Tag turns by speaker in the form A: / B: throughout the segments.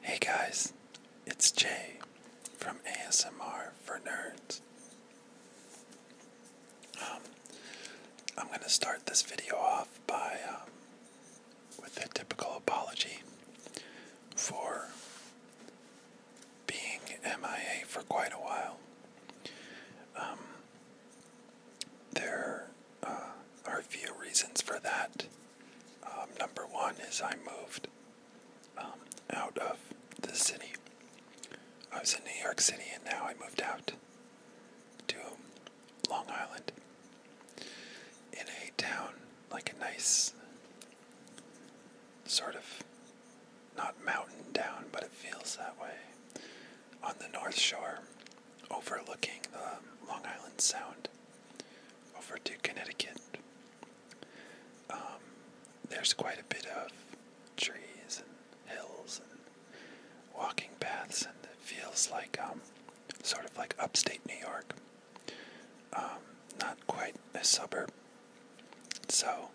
A: Hey guys, it's Jay from ASMR for Nerds. Um, I'm going to start this video off by um, with a typical apology for being MIA for quite a while. Um, there uh, are a few reasons for that. Um, number one is I moved um, out of the city. I was in New York City and now I moved out to Long Island in a town, like a nice sort of not mountain town, but it feels that way on the North Shore, overlooking the Long Island Sound over to Connecticut. Um, there's quite a bit of trees and hills and walking paths, and it feels like um, sort of like upstate New York. Um, not quite a suburb. So,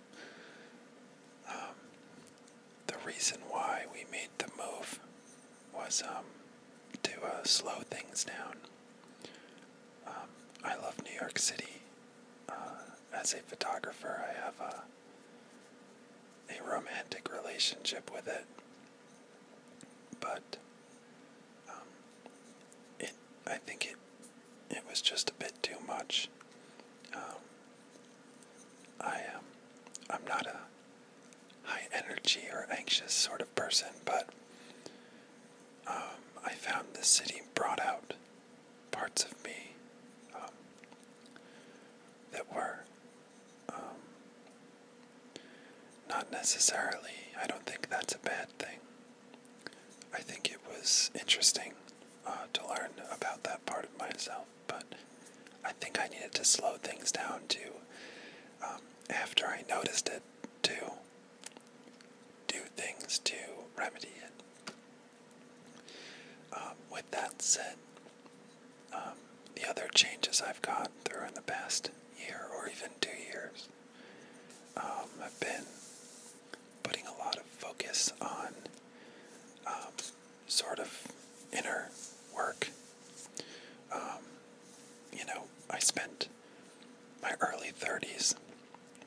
A: the reason why we made the move was um, to uh, slow things down. Um, I love New York City. Uh, as a photographer, I have a romantic relationship with it, but um, it I think it it was just a bit too much. I I'm not a high energy or anxious sort of person, but um, I found the city brought out parts of me um, that were um, not necessarily, I don't think that's a bad thing. I think it was interesting uh, to learn about that part of myself but I think I needed to slow things down too. Um, after I noticed it, to do things to remedy it. Um, with that said, um, the other changes I've gone through in the past year or even two years i have been putting a lot of focus on sort of inner work. Um, you know, I spent my early 30s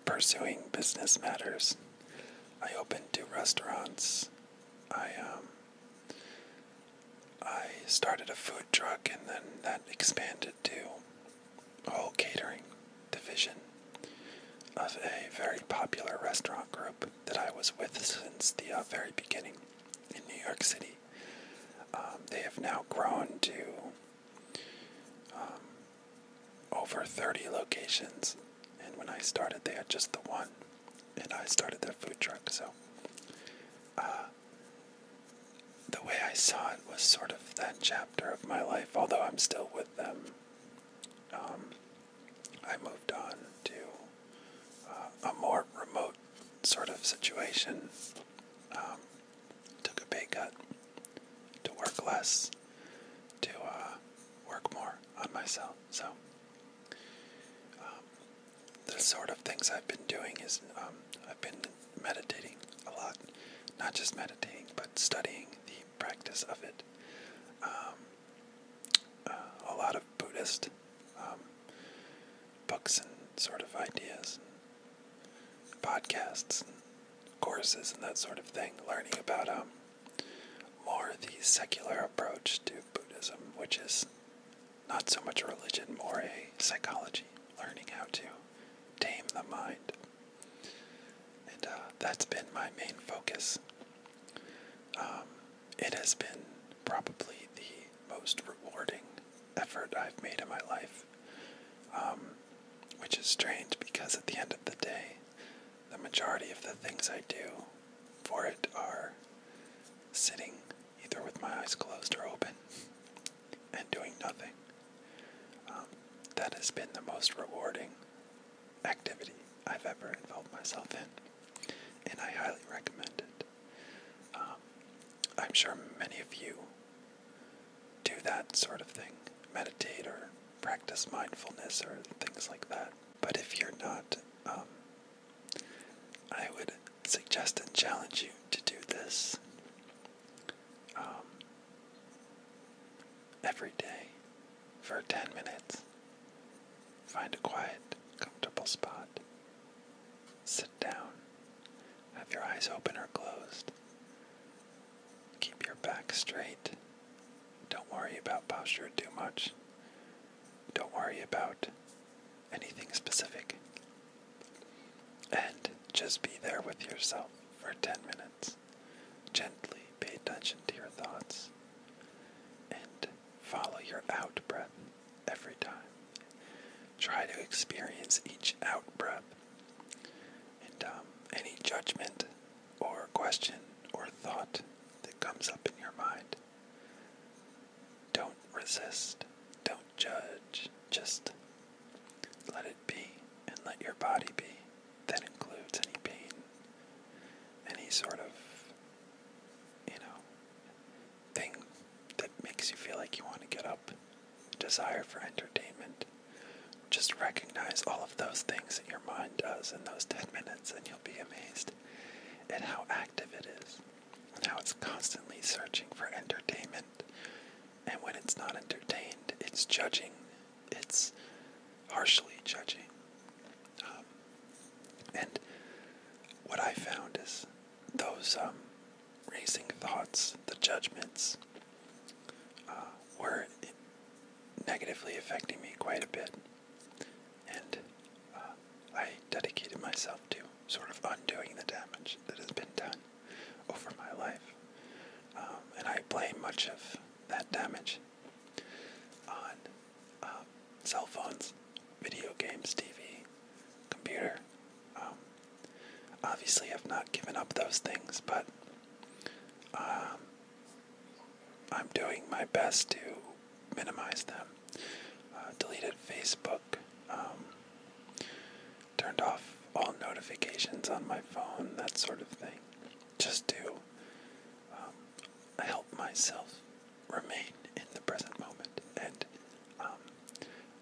A: pursuing business matters. I opened two restaurants. I um, I started a food truck, and then that expanded to a whole catering division of a very popular restaurant group that I was with since the uh, very beginning in New York City. Um, they have now grown to um, over 30 locations, and when I started, they had just the one, and I started their food truck. So, uh, the way I saw it was sort of that chapter of my life, although I'm still with them. Um, I moved on to uh, a more remote sort of situation. Um, took a pay cut to work less, to uh, work more on myself. So, um, the sort of things I've been doing is um, I've been meditating a lot, not just meditating, but studying the practice of it. Uh, a lot of Buddhist um, books and sort of ideas, and podcasts, and courses, and that sort of thing, learning about um, more the secular approach to Buddhism, which is not so much a religion, more a psychology, learning how to tame the mind. And uh, that's been my main focus. Um, it has been probably the most rewarding effort I've made in my life, um, which is strange because at the end of the day, the majority of the things I do for it are sitting either with my eyes closed or open and doing nothing. Um, that has been the most rewarding activity I've ever involved myself in and I highly recommend it. Um, I'm sure many of you do that sort of thing meditate or practice mindfulness or things like that. But if you're not, um, I would suggest and challenge you to do this um, every day for 10 minutes. Find a quiet, comfortable spot. Sit down. Have your eyes open or closed. Keep your back straight. Don't worry about posture too much. Don't worry about anything specific. And just be there with yourself for 10 minutes. Gently pay attention to your thoughts and Follow your out breath every time. Try to experience each out breath. And um, any judgment or question or thought that comes up in your mind, don't resist. Don't judge. Just let it be and let your body be. That includes any pain, any sort of you know, thing that makes you feel like you want to get up, desire for entertainment. Just recognize all of those things that your mind does in those 10 minutes, and you'll be amazed at how active it is, and how it's constantly searching for entertainment. And when it's not entertained, it's judging, it's harshly judging, um, and what I found is those um, racing thoughts, the judgments, uh, were negatively affecting me quite a bit. And uh, I dedicated myself to sort of undoing the damage that has been done over my life. Um, and I blame much of that damage on um, cell phones, video games, TV, computer. Um, obviously, I've not given up those things, but um, I'm doing my best to minimize them. Uh, deleted Facebook. turned off all notifications on my phone, that sort of thing, just to help myself remain in the present moment. And um,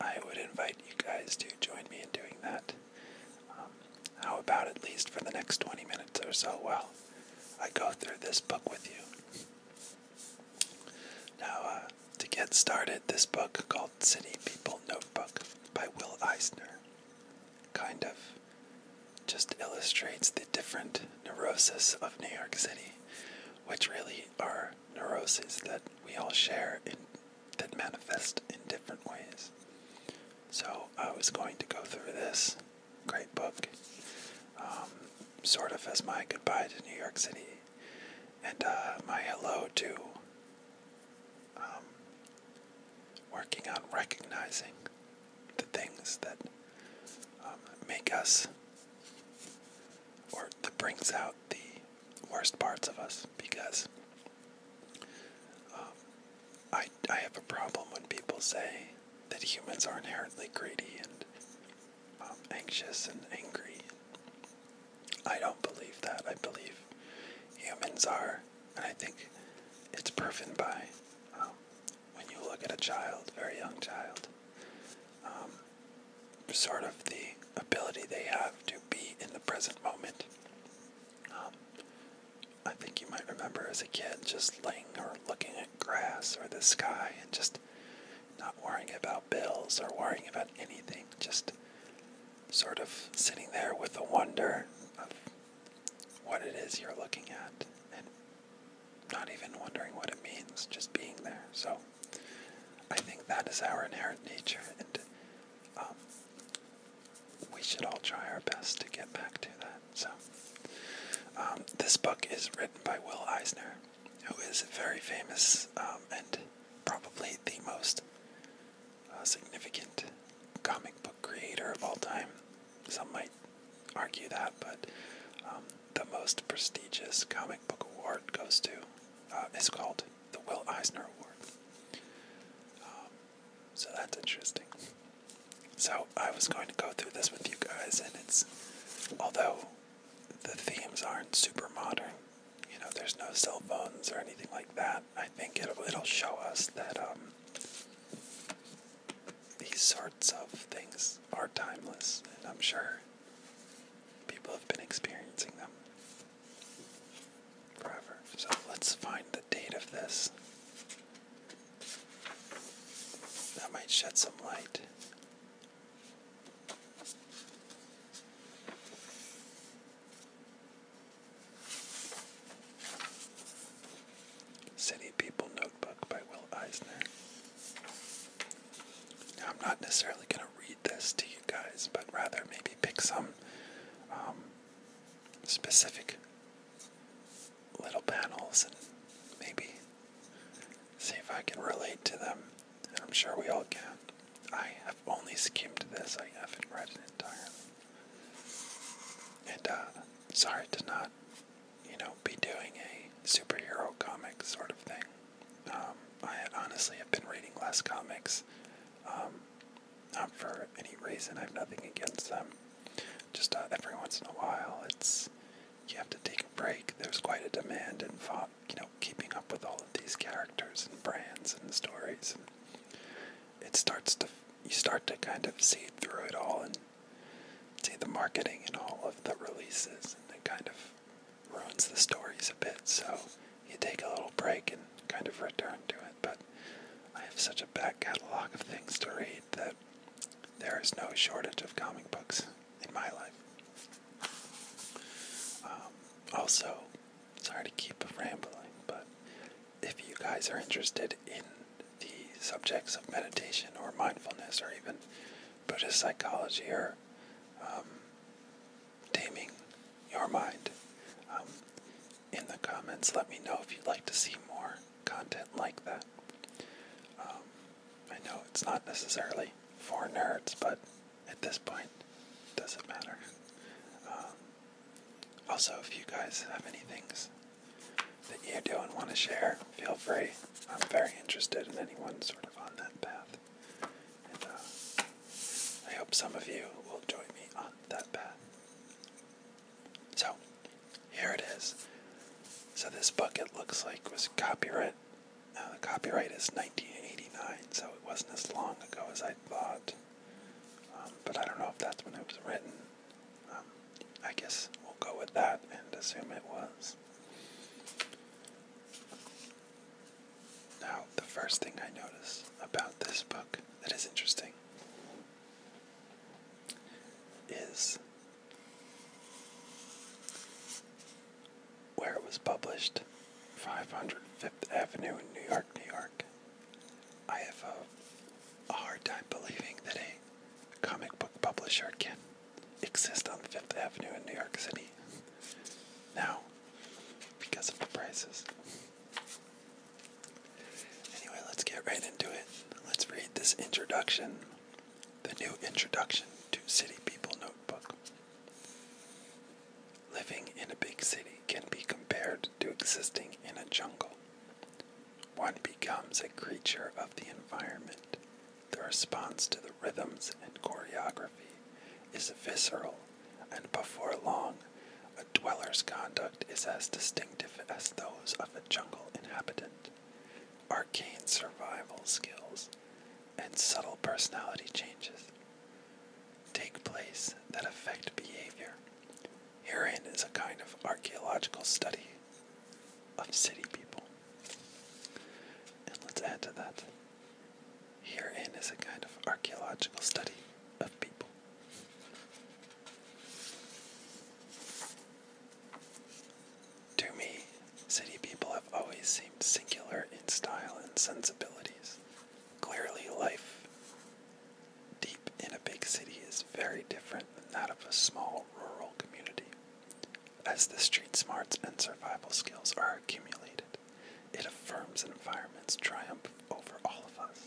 A: I would invite you guys to join me in doing that. Um, how about at least for the next 20 minutes or so Well, I go through this book with you? Now, uh, to get started, this book called City People Notebook by Will Eisner kind of just illustrates the different neuroses of New York City, which really are neuroses that we all share in, that manifest in different ways. So I was going to go through this great book um, sort of as my goodbye to New York City and uh, my hello to um, working on recognizing the things that um, make us or that brings out the worst parts of us because um, I, I have a problem when people say that humans are inherently greedy and um, anxious and angry. I don't believe that. I believe humans are, and I think it's proven by when you look at a child, very young child, um, sort of the ability they have to be in the present moment. Um, I think you might remember as a kid just laying or looking at grass or the sky and just not worrying about bills or worrying about anything, just sort of sitting there with the wonder of what it is you're looking at not even wondering what it means, just being there. So I think that is our inherent nature, and um, we should all try our best to get back to that. So um, this book is written by Will Eisner, who is very famous um, and probably the most uh, significant comic book creator of all time. Some might argue that, but um, the most prestigious comic book award goes to uh, is called the Will Eisner Award. Um, so that's interesting. So I was going to go through this with you guys, and it's although the themes aren't super modern, you know, there's no cell phones or anything like that. I think it'll it'll show us that um, these sorts of things are timeless, and I'm sure people have been experiencing them forever. So let's find the date of this. That might shed some light. City People Notebook by Will Eisner. I'm not necessarily going to read this to you guys, but rather maybe pick some um, specific little panels and maybe see if I can relate to them. I'm sure we all can. I have only skimmed this, I haven't read it entirely. And, uh, sorry to not you know, be doing a superhero comic sort of thing. Um, I honestly have been reading less comics, um, not for any reason. I have nothing against them. Just uh, every once in a while, it's you have to take a break. There's quite a demand in, you know, keeping up with all of these characters and brands and stories. And it starts to you start to kind of see through it all and see the marketing in all of the releases, and it kind of ruins the stories a bit. So you take a little break and kind of return to it. But I have such a back catalog of things to read that there is no shortage of comic books in my life. Um, also, sorry to keep rambling, but if you guys are interested in the subjects of meditation or mindfulness or even Buddhist psychology or um, taming your mind. Um, in the comments, let me know if you'd like to see more content like that. Um, I know it's not necessarily for nerds, but at this point, it doesn't matter. also, if you guys have any things that you do and want to share, feel free. I'm very interested in anyone sort of on that path. And uh, I hope some of you will join me on that path. So, here it is. So, this book, it looks like, was copyright. Uh, the copyright is 1989, so it wasn't as long ago as I thought. Um, but I don't know if that's when it was written. Um, I guess we'll go with that and assume it was. Now, the first thing I notice about this book that is interesting is where it was published 505th Avenue in New York, New York. I have a hard time believing that a comic book publisher can exist on Fifth Avenue in New York City now because of the prices. Anyway, let's get right into it. Let's read this introduction, the new introduction to City People Notebook. Living in a big city can be compared to existing in a jungle. One becomes a creature of the environment. The response to the rhythms and choreography is visceral, and before long, a dweller's conduct is as distinctive as those of a jungle inhabitant. Arcane survival skills and subtle personality changes take place that affect behavior. Herein is a kind of archaeological study of city people. And let's add to that. Herein is a kind of archaeological study of people. To me, city people have always seemed singular in style and sensibilities. Clearly, life deep in a big city is very different than that of a small rural community. As the street smarts and survival skills are accumulated, it affirms an environment's triumph over all of us.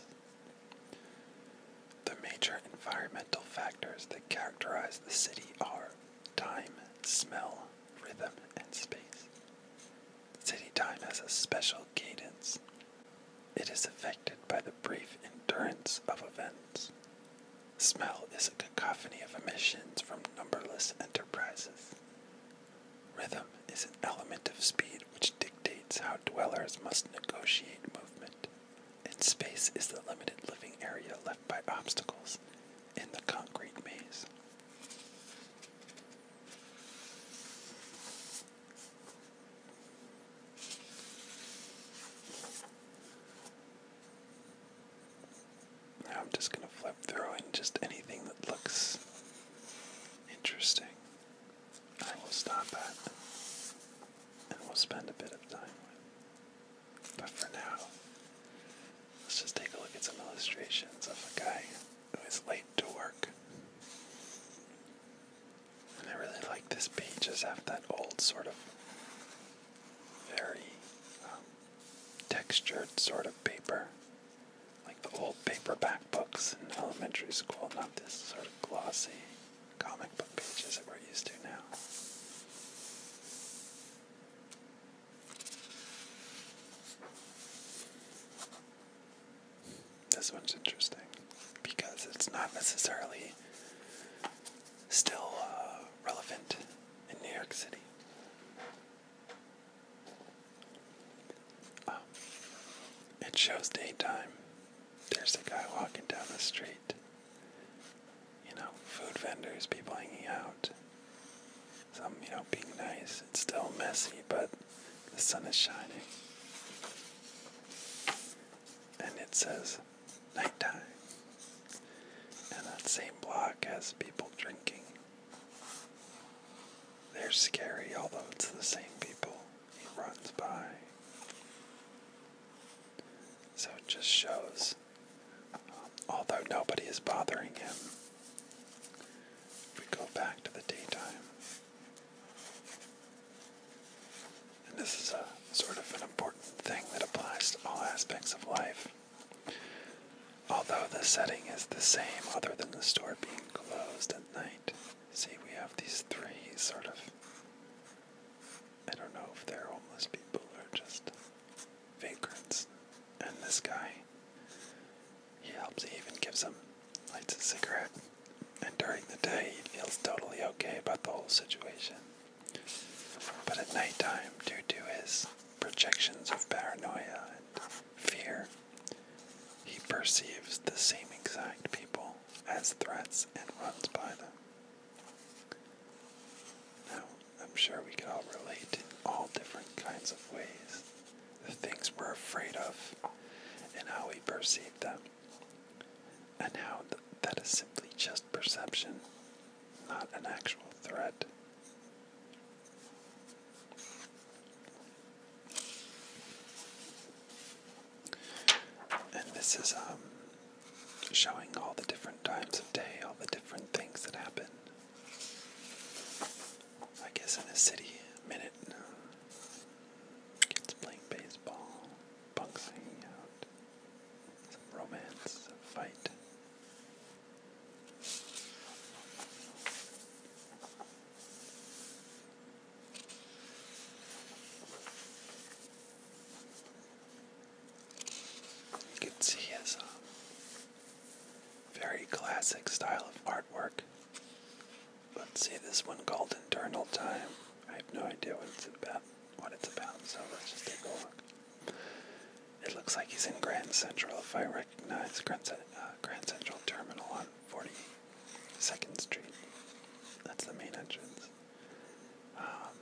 A: The major environmental factors that characterize the city are time, smell, rhythm, and space. City time has a special cadence. It is affected by the brief endurance of events. Smell is a cacophony of emissions from numberless enterprises. Rhythm is an element of speed which dictates how dwellers must negotiate movement, and space is the limited living area left by obstacles in the concrete maze. Now I'm just going to flip through and just anything that looks interesting, I will stop at and we'll spend a bit of time with. But for now, let's just take a look at some illustrations of a guy who is late to work. And I really like this page, just have that old sort of very um, textured sort of paper, like the old paperback books in elementary school, not this sort of glossy comic book pages that we're used to now. This one's interesting because it's not necessarily still uh, relevant in New York City. Um, it shows daytime. There's a guy walking down the street. You know, food vendors, people hanging out. Some, you know, being nice. It's still messy, but the sun is shining. And it says, nighttime. And that same block has people drinking. They're scary, although it's the same people he runs by. So it just shows, although nobody is bothering him, we go back to the daytime, and this is a sort of an important thing that applies to all aspects of life. Although the setting is the same, other than the store being closed at night, see, we have these three sort of. I don't know if they're homeless people or just vagrants. And this guy, he helps, he even gives him, lights a cigarette. And during the day, he feels totally okay about the whole situation. But at nighttime, due to his projections of paranoia and fear, he perceives the same exact people as threats and runs by them. Now, I'm sure we could all relate in all different kinds of ways the things we're afraid of and how we perceive them. And how that is simply just perception, not an actual threat. And this is um, showing all the different times of day, all the different things that happen. I guess in a city, a minute. Uh, kids playing baseball, bunks hanging out, uh, some romance, a fight. You can see his uh, very classic style of artwork. Let's see this one called Internal Time. I have no idea what it's about what it's about, so let's just take a look. It looks like he's in Grand Central, if I recognize Grand, uh, Central Terminal on 42nd Street. That's the main entrance. Um,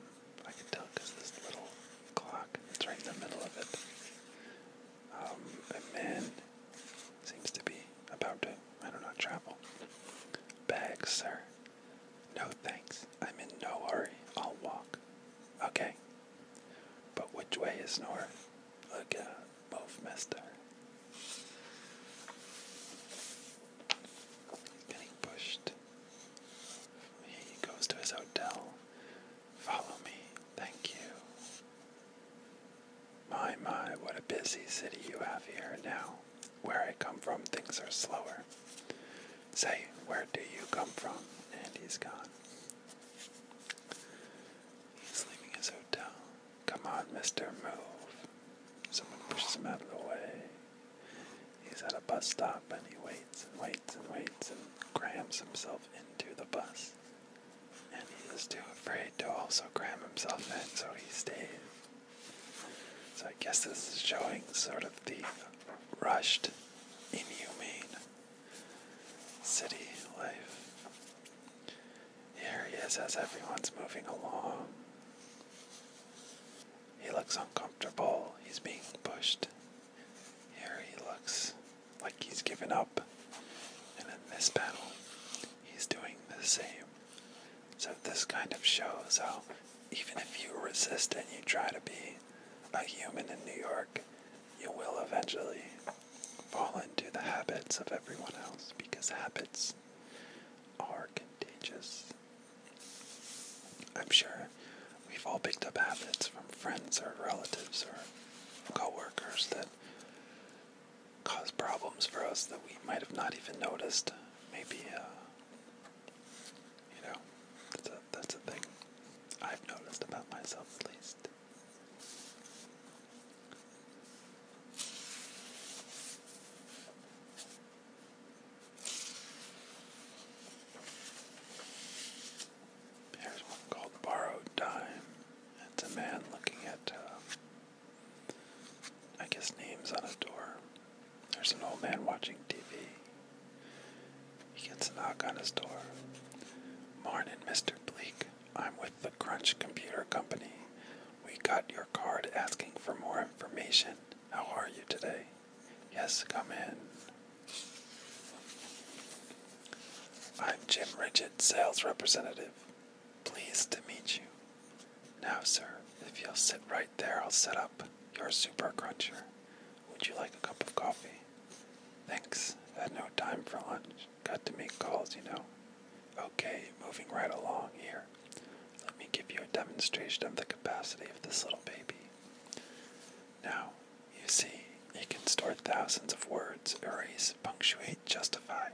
A: I can tell because this little clock, it's right in the middle of it. Um, a man seems to be about to, I don't know, travel. Bags, sir. No thanks. I'm in no hurry. I'll walk. Okay. But which way is north? Look out. Move, mister. He's getting pushed. He goes to his hotel. Follow me. Thank you. My, my, what a busy city you have here now. Where I come from, things are slower. Say, where do you come from? And he's gone. He's leaving his hotel. Come on, mister, move. Someone pushes him out of the way. He's at a bus stop and he waits and waits and waits and crams himself into the bus. And he is too afraid to also cram himself in, so he stays. So I guess this is showing sort of the rushed, inhumane city life. Here he is as everyone's moving along. He looks uncomfortable. He's being pushed. Here he looks like he's giving up. And in this panel, he's doing the same. So this kind of shows how even if you resist and you try to be a human in New York, you will eventually fall into the habits of everyone else because habits are contagious. I'm sure we've all picked up habits from friends or relatives or coworkers that cause problems for us that we might have not even noticed. Maybe uh, you know, that's a, that's a thing I've noticed about myself at least. Here's one called Borrowed Time. It's a man looking at, um, I guess, names on a door. There's an old man watching TV. He gets a knock on his door. Morning, Mr. Bleak. I'm with the Crunch Computer Company. We got your card asking for more information. How are you today? Yes, come in. I'm Jim Ridgett, sales representative. Pleased to meet you. Now, sir, if you'll sit right there, I'll set up your super cruncher. Would you like a cup of coffee? Thanks. Had no time for lunch. Got to make calls, you know. Okay, moving right along here. Let me give you a demonstration of the capacity of this little baby. Now, you see, it can store thousands of words, erase, punctuate, justify.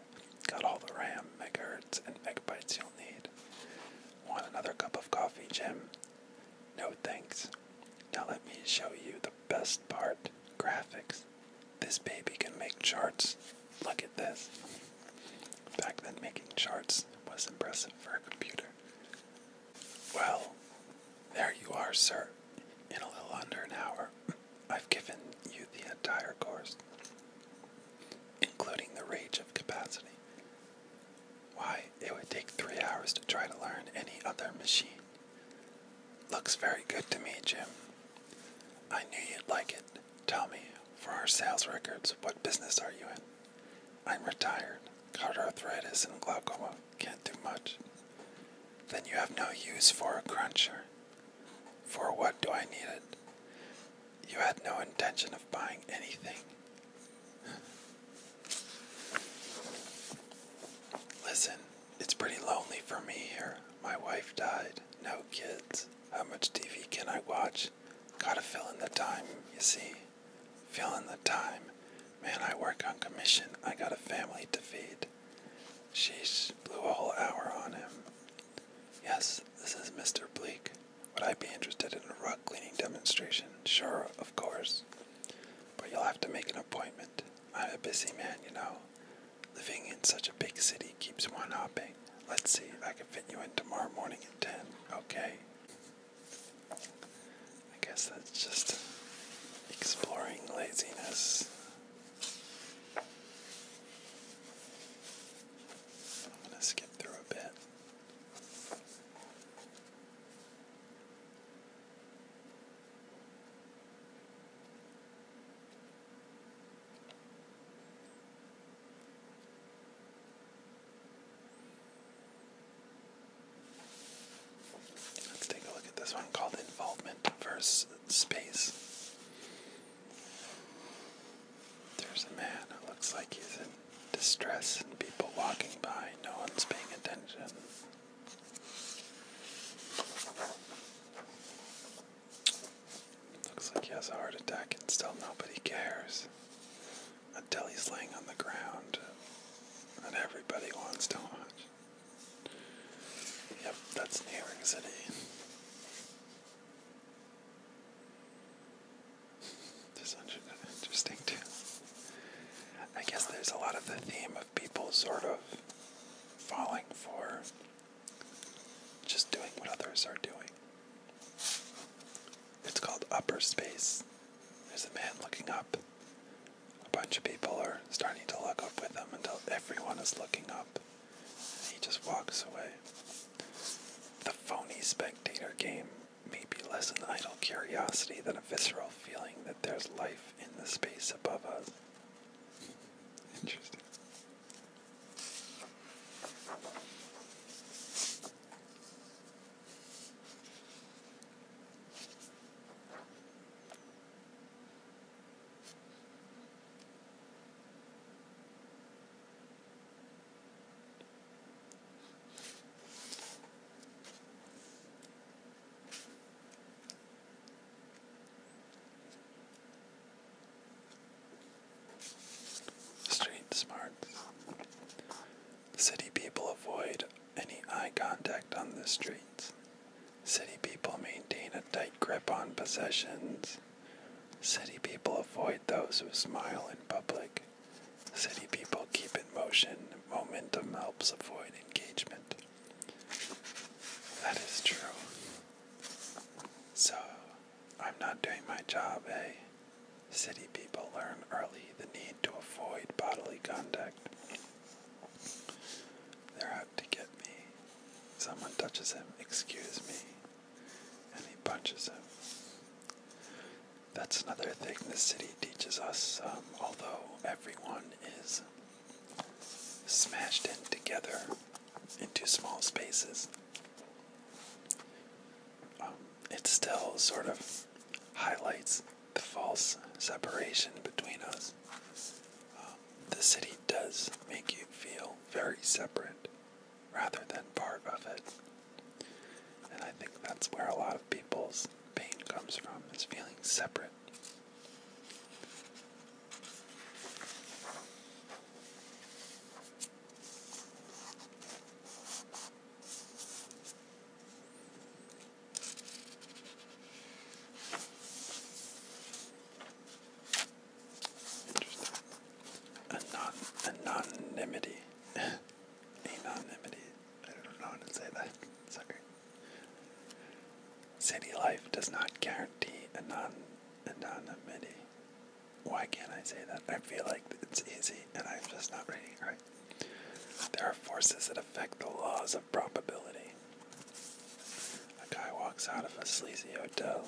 A: Got all the RAM, megahertz, and megabytes you'll need. Want another cup of coffee, Jim? No thanks. Now let me show you the best part graphics. This baby can make charts. Look at this. Back then, making charts was impressive for a computer. Well, there you are, sir. In a little under an hour, I've given you the entire course, including the range of capacity. Why, it would take three hours to try to learn any other machine. Looks very good to me, Jim. I knew you'd like it. Tell me, for our sales records, what business are you in? I'm retired, got arthritis and glaucoma, can't do much. Then you have no use for a cruncher. For what do I need it? You had no intention of buying anything. Listen, it's pretty lonely for me here. My wife died, no kids. How much TV can I watch? Gotta fill in the time, you see. Fill in the time. Man, I work on commission. I got a family to feed. Sheesh, blew a whole hour on him. Yes, this is Mr. Bleak. Would I be interested in a rug cleaning demonstration? Sure, of course. But you'll have to make an appointment. I'm a busy man, you know. Living in such a big city keeps one hopping. Let's see, I can fit you in tomorrow morning at 10. Okay. I guess that's just exploring laziness. I'm going to skip through a bit. Let's take a look at this one called Involvement versus Space. There's a man who looks like he's in distress and people walking by. No one's paying attention. Looks like he has a heart attack and still nobody cares. Until he's laying on the ground and everybody wants to watch. Yep, that's New York City. This one's interesting too. I guess there's a lot of the theme of people sort of falling for just doing what others are doing. It's called upper space. There's a man looking up. A bunch of people are starting to look up with him until everyone is looking up. he just walks away. The phony spectator game maybe less an idle curiosity than a visceral feeling that there's life in the space above us. Interesting. Street smarts. City people avoid any eye contact on the streets. City people maintain a tight grip on possessions. City people avoid those who smile in public. City people keep in motion. Momentum helps avoid engagement. That is true. So, I'm not doing my job, eh? City people learn early the need to avoid bodily contact. They're out to get me. Someone touches him. Excuse me and he punches him. That's another thing the city teaches us, um, although everyone is smashed in together into small spaces. Um, it still sort of highlights the false separation between us. Um, the city does make you feel very separate rather than part of it. And I think that's where a lot of people's pain comes from, is feeling separate. anonymity anonymity. I don't know how to say that. Sorry. City life does not guarantee anon anonymity. Why can't I say that? I feel like it's easy and I'm just not ready. right. There are forces that affect the laws of probability. A guy walks out of a sleazy hotel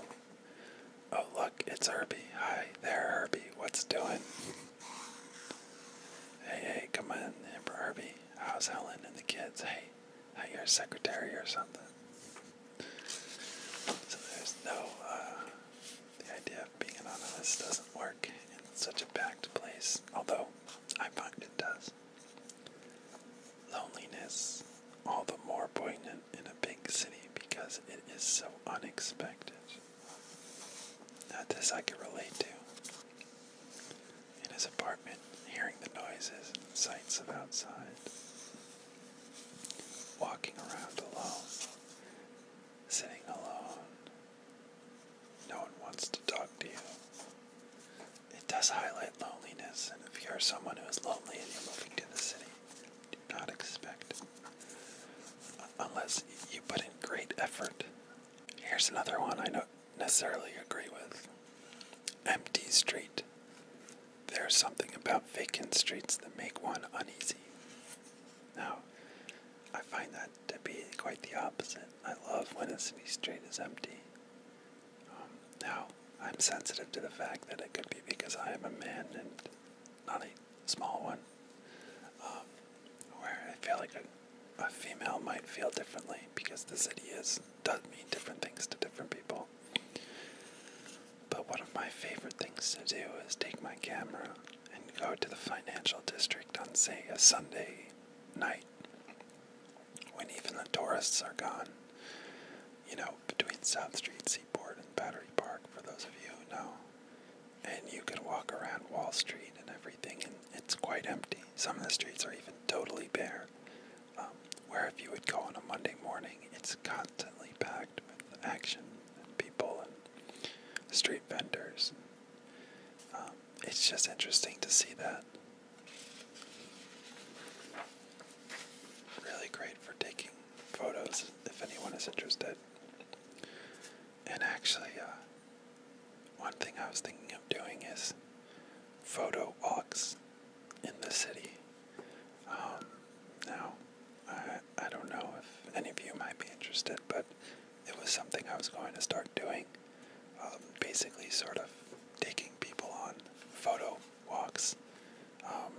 A: Oh, look, it's Herbie. Hi there, Herbie. What's doing? Hey, hey, come on, Emperor Herbie. How's Helen and the kids? Hey, how a secretary or something? So there's no, uh, idea of being anonymous doesn't work in such a packed place, although I find it does. Loneliness, all the more poignant in a big city because it is so unexpected. Not this I can relate to. In his apartment, hearing the noises and sights of outside. Walking around alone. Sitting alone. No one wants to talk to you. It does highlight loneliness, and if you're someone who is lonely and you're moving to the city, do not expect unless you put in great effort. Here's another one I don't necessarily agree with Empty Street. There's something about vacant streets that make one uneasy. Now, I find that to be quite the opposite. I love when a city street is empty. Um, now, I'm sensitive to the fact that it could be because I am a man and not a small one, um, where I feel like a, a female might feel differently because the city is does mean different things to different people. But one of my favorite things to do is take my camera and go to the financial district on, say, a Sunday night when even the tourists are gone. You know, between South Street Seaport and Battery Park, for those of you who know, and you can walk around Wall Street and everything, and it's quite empty. Some of the streets are even totally bare. Um, where if you would go on a Monday morning, it's constantly packed with action and people and street vendors. Um, it's just interesting to see that. Really great for taking photos if anyone is interested. And actually, uh, one thing I was thinking of doing is photo walks in the city. Um, now, I, don't know if any of you might be interested, but it was something I was going to start doing. Um, basically, sort of taking people on photo walks um,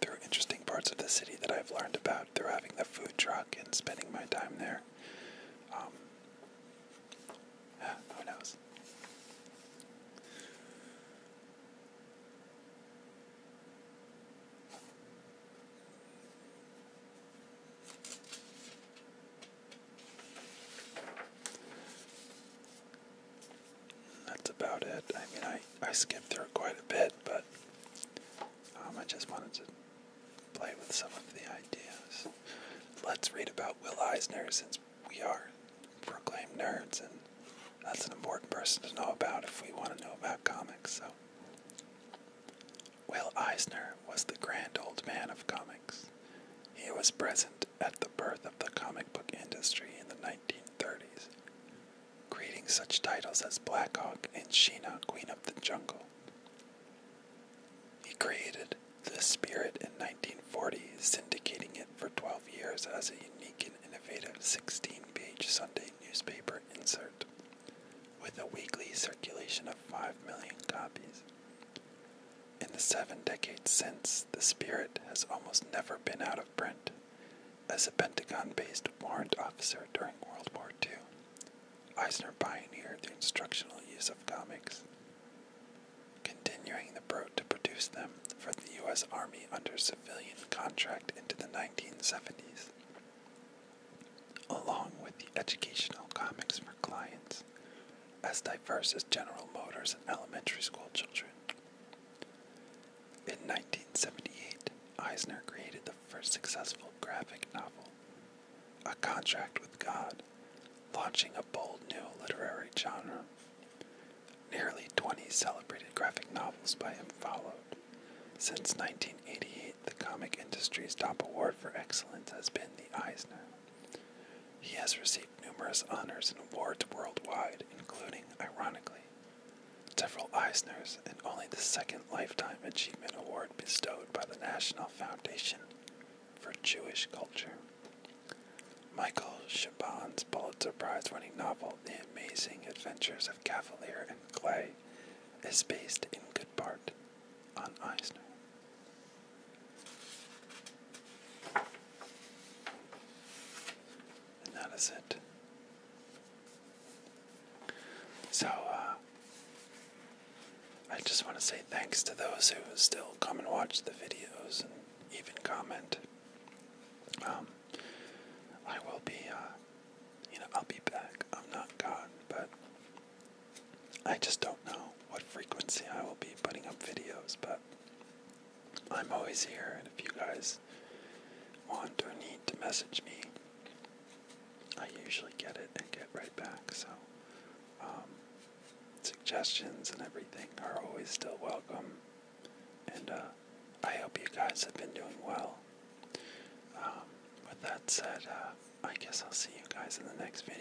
A: through interesting parts of the city that I've learned about out through having the food truck and spending my time there. Um, who knows? That's about it. I mean, I, I skipped through quite a bit, but um, I just wanted to play with some of the ideas. Let's read about Will Eisner since we are proclaimed nerds, and that's an important person to know about if we want to know about comics. So, Will Eisner was the grand old man of comics. He was present at the birth of the comic book industry in the 1930s creating such titles as Blackhawk and Sheena, Queen of the Jungle. He created The Spirit in 1940, syndicating it for 12 years as a unique and innovative 16 page Sunday newspaper insert, with a weekly circulation of 5 million copies. In the seven decades since, The Spirit has almost never been out of print as a Pentagon based warrant officer during World War II. Eisner pioneered the instructional use of comics, continuing the pro to produce them for the U.S. Army under civilian contract into the 1970s, along with the educational comics for clients as diverse as General Motors and elementary school children. In 1978, Eisner created the first successful graphic novel, A Contract with God, launching a bold new literary genre. Nearly 20 celebrated graphic novels by him followed. Since 1988, the comic industry's top award for excellence has been the Eisner. He has received numerous honors and awards worldwide, including, ironically, several Eisners, and only the second Lifetime Achievement Award bestowed by the National Foundation for Jewish Culture. Michael Chabon's Pulitzer Prize winning novel, The Amazing Adventures of Cavalier and Clay, is based in good part on Eisner. And that is it. So, uh, I just want to say thanks to those who still come and watch the videos and even comment. Um, I will be, uh, you know, I'll be back. I'm not gone, but I just don't know what frequency I will be putting up videos, but I'm always here, and if you guys want or need to message me, I usually get it and get right back. So, um, suggestions and everything are always still welcome. And uh, I hope you guys have been doing well. Um, with that said, uh, I guess I'll see you guys in the next video.